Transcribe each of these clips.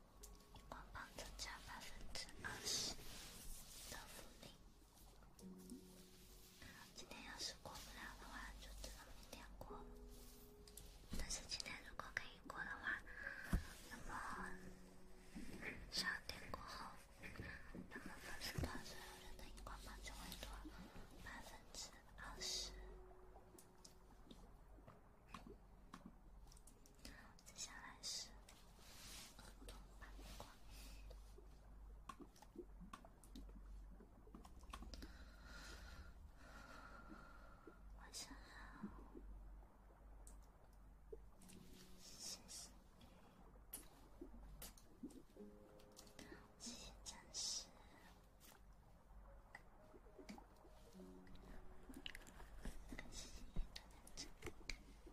荧光棒增加百分之二十的福利。今天要是过不了的话，就只能明天过了。但是今天如果可以过的话，那么十二点过后，那么粉丝团所有人的荧光棒就会多百分之二十。接下来是儿童版的光，我想要星星，这些真实，星星的这个。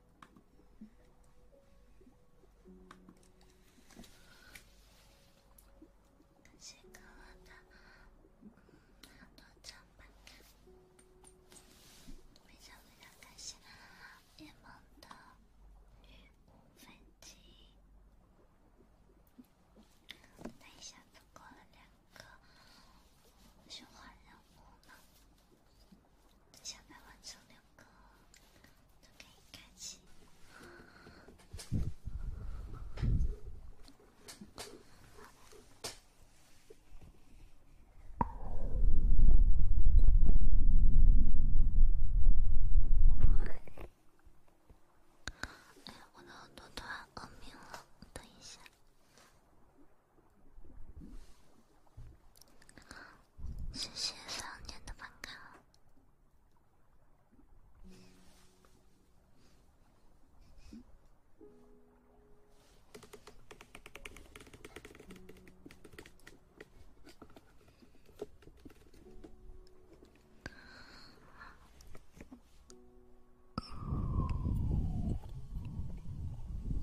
谢谢哥哥的多长板卡，非常非常开心！也碰到女粉基，那一下子过了两个循环人物呢。接下来完成两个都可以开启。哎，我的耳朵团恶病了，等一下。谢谢少年的粉卡。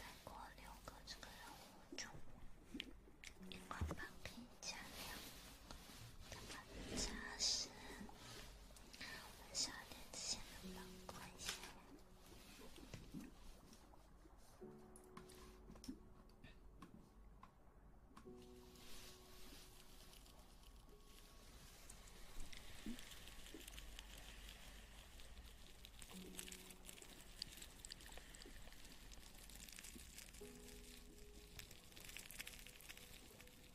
再过六个这个人物，就连冠榜可以加两，再加十。我们少点钱了吧，关心。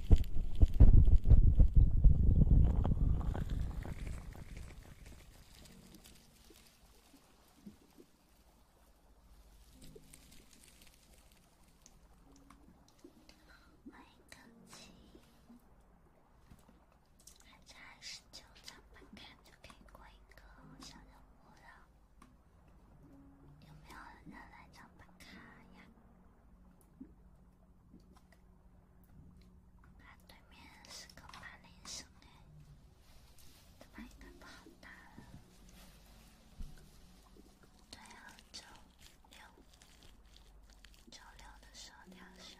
换一个气，还差十九张牌，看就可以过一个小任务了。有没有人来找把卡呀？啊，对面是个半灵神哎，这把应该不好打了。对啊，九六九六的时候两杀。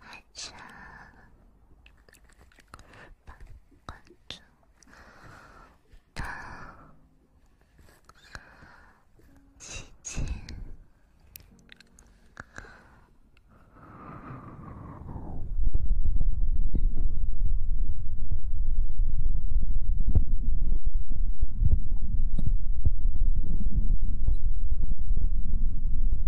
还想把关住他，姐姐。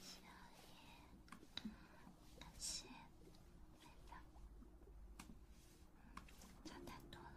小叶，感谢，来吧，差太多了。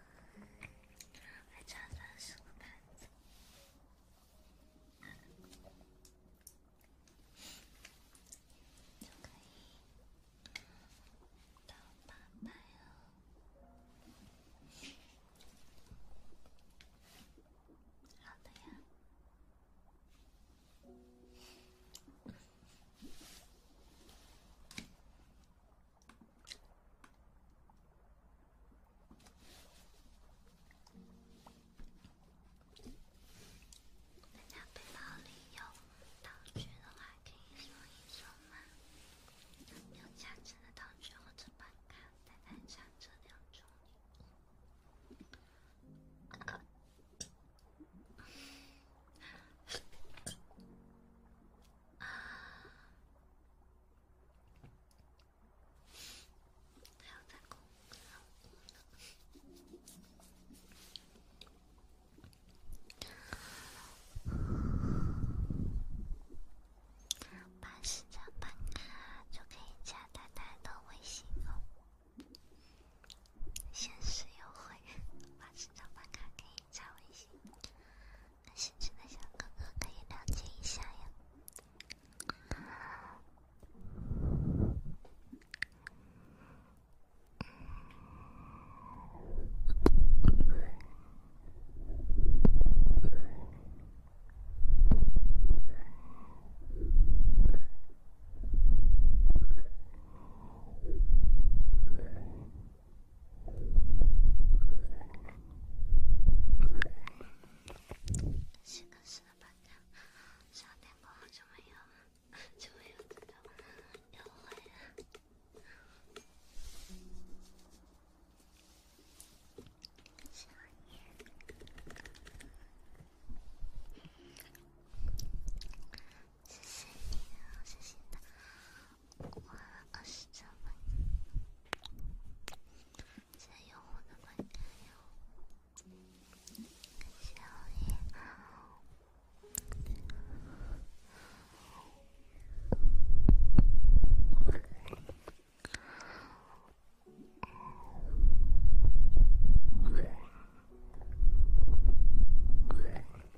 还差三十个盘子，好的，就可以到八百哦。好的呀。人家背包里有道具的话，可以说一说吗？有加成的道具或者把看再看一下这两种。还有彩虹，办十张办卡就可以加太太的微信哦，限时优惠，办十张办卡可以加微信。感兴趣的哥哥可以了解一下呀。谢个死的班长，上天给我就没有，就没有，有我了。谢谢，谢谢。花了二十七分，借用我的房间。小夜。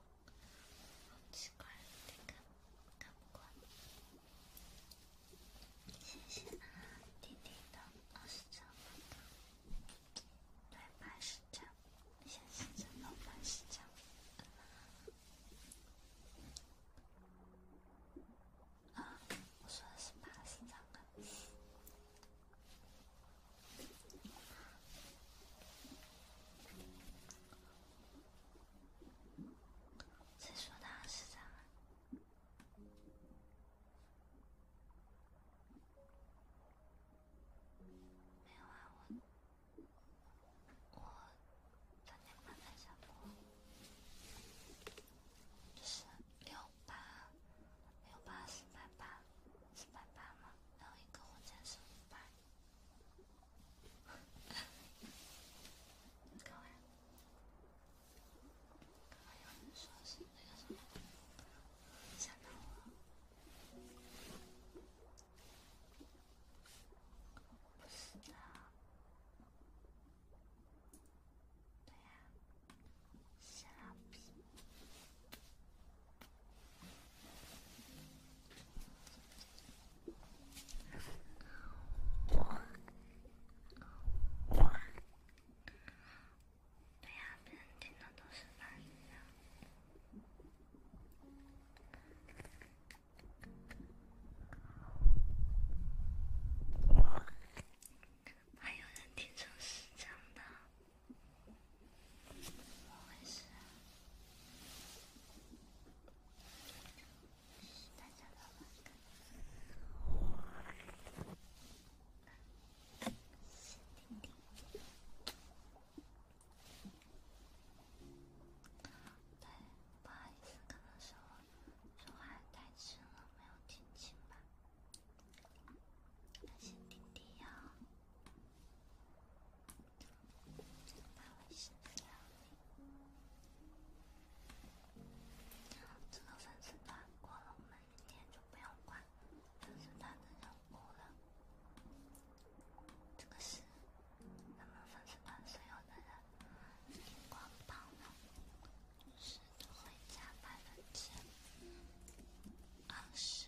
不奇怪，太干，太干。谢谢啊，弟弟的八十张，对八十张，谢谢，真的八十张。啊，我说的是八十张啊。谁说的二十张？没完，我我昨天晚上下播，就是六八六八四百八四百八嘛，然后一个火箭十五百。刚刚，刚刚有人说是那个什么，吓到我。不是啊，对呀，是老皮。对呀，别人听的都是慢音的。还有人听成十章的，怎么回事？不好意思，可能是我说话太轻了，没有听清吧？谢谢丁丁呀。这个粉丝团过了，我们明天就不用管粉丝团的任务了。这个是咱们粉丝团所有的人，荧光棒呢，是都会加百分之二十。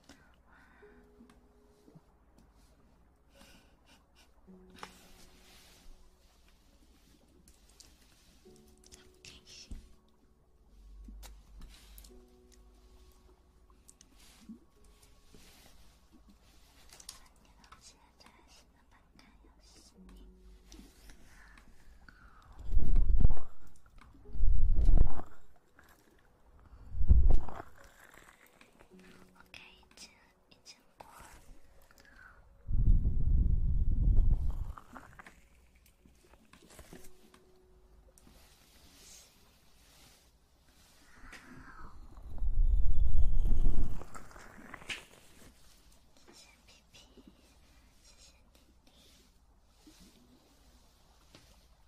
开心。OK，已经已经过了。好，谢谢皮皮，谢谢弟弟。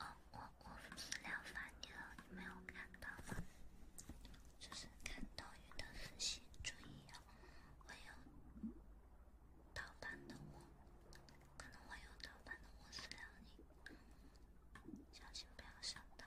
哦，我我私聊发你了，你没有看到吗？就是看抖音的私信，注意哦，会有盗版的我，可能会有盗版的我私聊你，小心不要上当。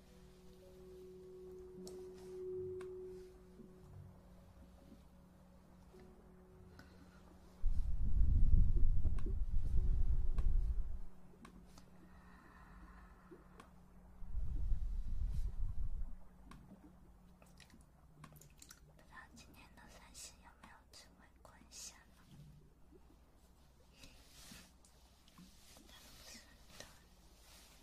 不知道今天的三星有没有机会贡献呢？那不是的。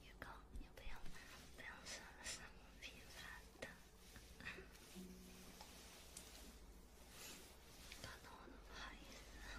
宇哥，你不要，不要说三五平凡的，搞得我都不好意思。